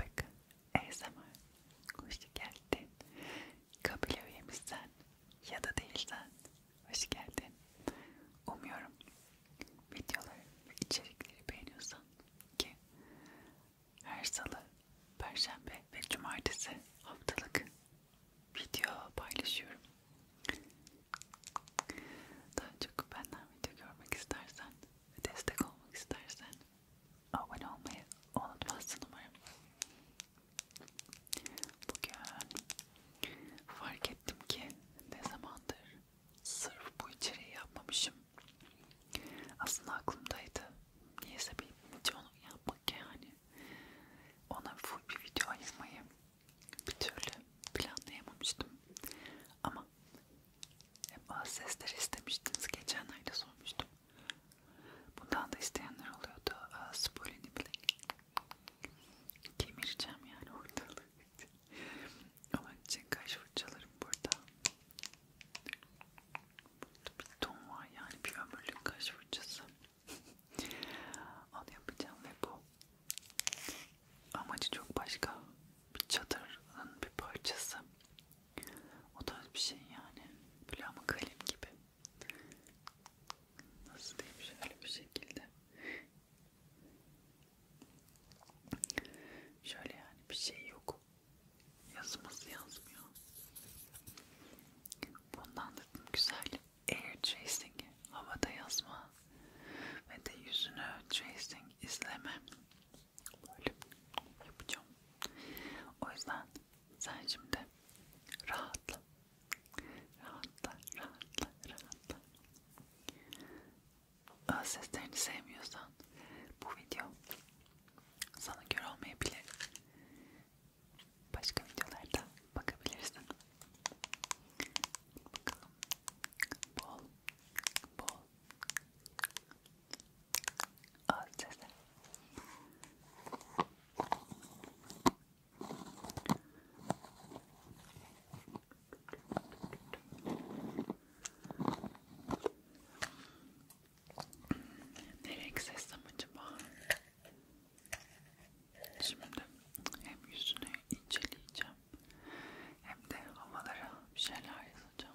Bakın ASMR hoş geldin. Kabile üyemizsen ya da değilsen hoş geldin. Umuyorum videoları ve içerikleri beğeniyorsan ki her salı, perşembe ve cumartesi haftalık video paylaşıyorum. Daha çok benden video görmek istersen ve destek olmak istersen abone olmayı unutmazsın umarım. Bugün fark ettim ki ne zamandır sırf bu içeriği yapmamışım. Aslında aklımdaydı. Niyeyse bir video yapmak yani. Ona full bir video ayırmayı bir türlü planlayamamıştım. Ama hep az sesler istemiştiniz. Geçen ayda sormuştum. Bundan da isteyenler oluyordu. Spolini bile kemireceğim yani ortalığı. Onun için kaş fırçalarım burada. Burada bir ton var yani bir ömürlük kaş fırçası. Onu yapacağım ve bu. Amacı çok başka. Bir çadırın bir parçası. O tarz bir şey yani. Böyle ama kalem gibi. Nasıl diyeyim şöyle bir şekilde. Şöyle yani bir şey yok. Yazımız yazmıyor. Bundan da güzel air tracing, havada yazma ve de yüzünü tracing izleme böyle yapacağım. O yüzden sen şimdi rahatla, rahatla, rahatla, rahatla. Öz seslerini sevmiyorsan bu video sana göre olmayabilir. Başka videolarda bakabilirsin. Bakalım. Bol, bol, Öz sesi. Ne renk sesim acaba? Şimdi hem yüzünü inceleyeceğim hem de havalara bir şeyler yazacağım.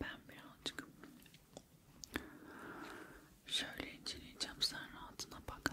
Ben birazcık şöyle inceleyeceğim sen rahatına bak.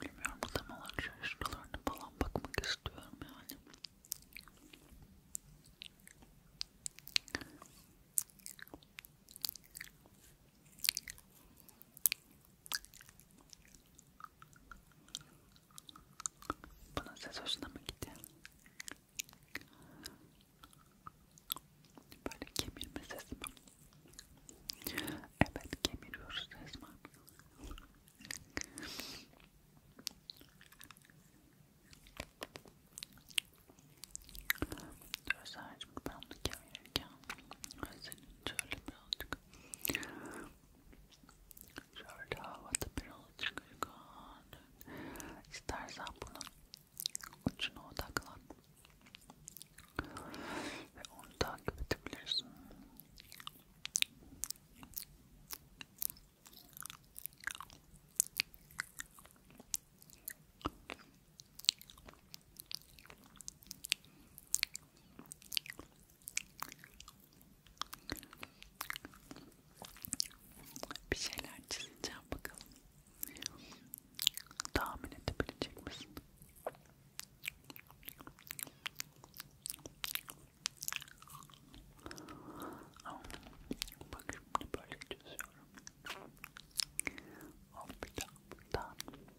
Bilmiyorum tam olarak şuralarına falan bakmak istiyorum yani. Bunun ses hoşuna mı gidiyor? Böyle kemirme sesi mi? Evet kemiriyoruz resmen. Gözlercim ben onu kemirken senin şöyle birazcık şöyle havada birazcık uygun istersen bunun ucuna odaklan ve onu takip edebilirsin bir şeyler çizeceğim bakalım. Tahmin edebilecek misin? Bak şimdi böyle çiziyorum. Hop bir daha buradan.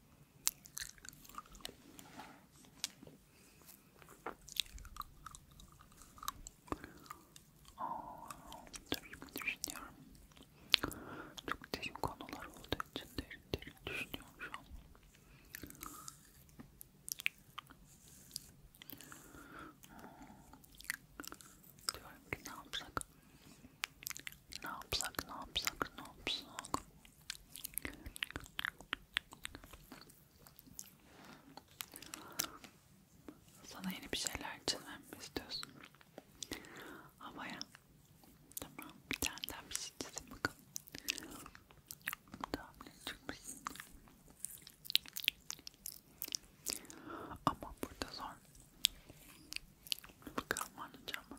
Dur düşünüyorum. Çok derin konular olduğu için derin derin düşünüyorum şu an. Diyorum ki ne yapsak? Ne yapsak, ne yapsak, ne yapsak? Sana yeni bir şeyler çizmemi istiyorsun. Havaya. Tamam. Bir tane daha bir şey çizin bakalım. Tamam ne çıkmış. Ama burada zor. Bakalım anlayacağım mı?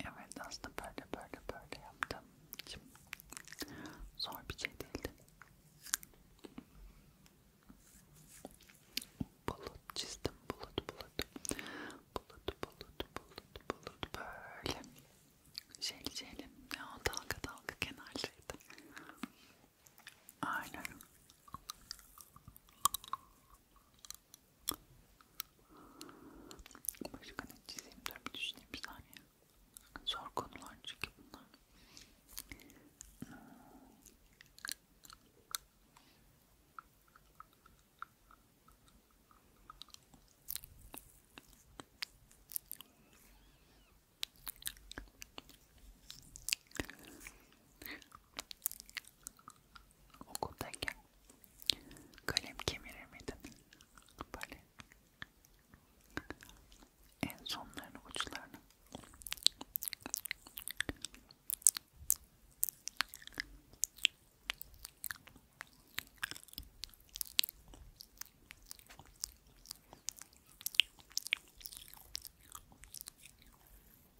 Evet aslında böyle böyle böyle yaptım. Şimdi zor bir şey değildi. Bulut çizdim bulut bulut. Bulut bulut bulut bulut böyle. Şeyli şeyli. Ya dalga dalga kenarlıydı. Aynen. Başka ne çizeyim? Dur bir düşüneyim bir saniye. Zor konular çünkü bunlar. Okuldayken kalem kemirir miydin? Böyle en sonlarını, uçlarını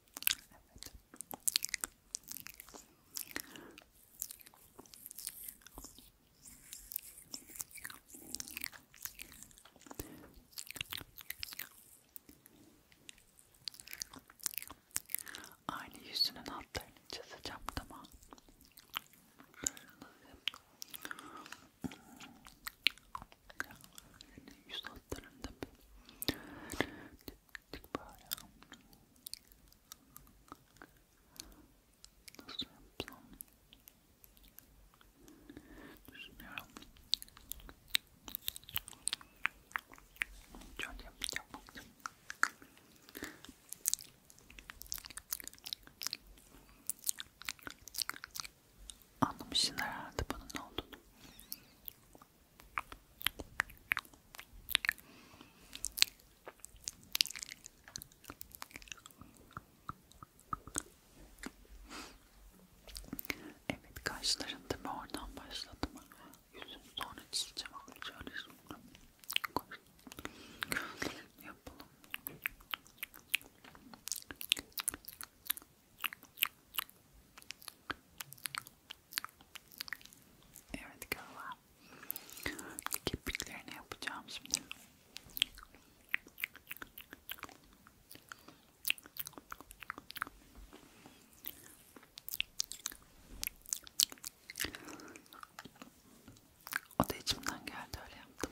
Evet. Aynı yüzünün altlarını çizeceğim tamam yüz hatlarında dik böyle nasıl yapsam düşünüyorum şöyle yapacağım bakayım Anlamışsın herhalde bunun ne olduğunu. Evet kaşların tabi oradan başladım. Yüzünü sonra çizeceğim ama şöyle şimdi yapalım. Evet galiba kirpiklerini yapacağım şimdi. O da içimden geldi öyle yaptım.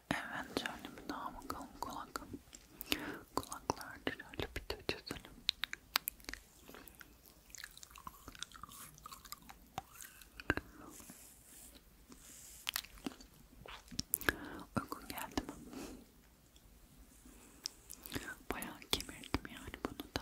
Evet şöyle bir daha bakalım kulak. Kulaklar şöyle bir de çizelim. Uygun geldi mi? Bayağı kemirdim yani bunu da.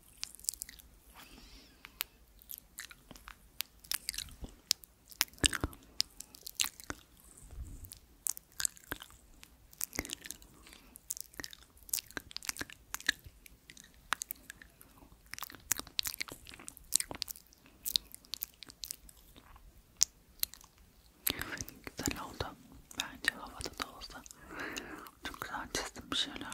Evet, güzel oldu. Bence havada da olsa çok güzel çizdim bir şeyler.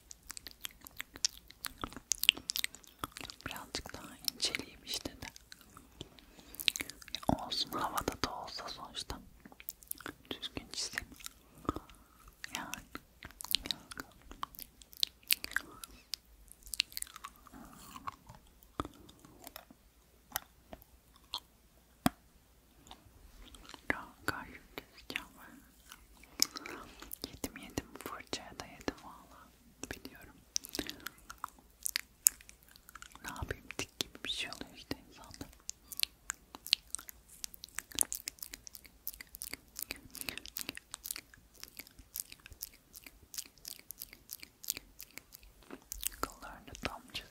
Birazcık daha inceleyeyim işte de. Ya olsun havada da olsa sonuçta. Düzgün çizim. Yani. Daha gayet gezeceğim ben. Yedim yedim fırçaya da yedim valla biliyorum. Ne yapayım dik gibi bir şey oluyor işte insanda. Kollarını tam çizdim.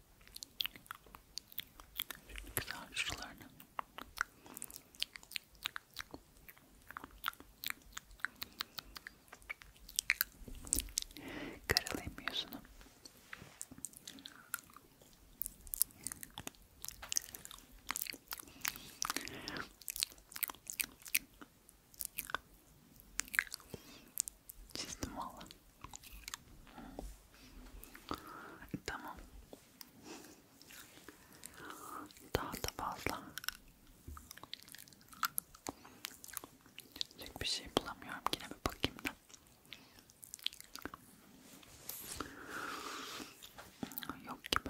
Şimdi güzel şuralarını karalayayım yüzünü. Çizdim valla. Tamam. Daha da fazla. Çizecek bir şey bulamıyorum. Yine bir bakayım da. Yok gibi.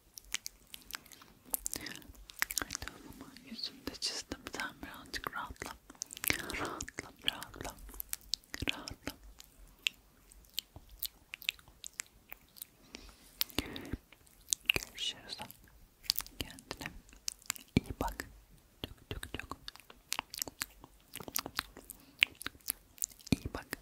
Tamam ama yüzünü de çizdim. Sen birazcık rahatla. Rahatla, rahatla. Rahatla. Görüşürüz. Kendine iyi bak. Çok çok çok. İyi bak.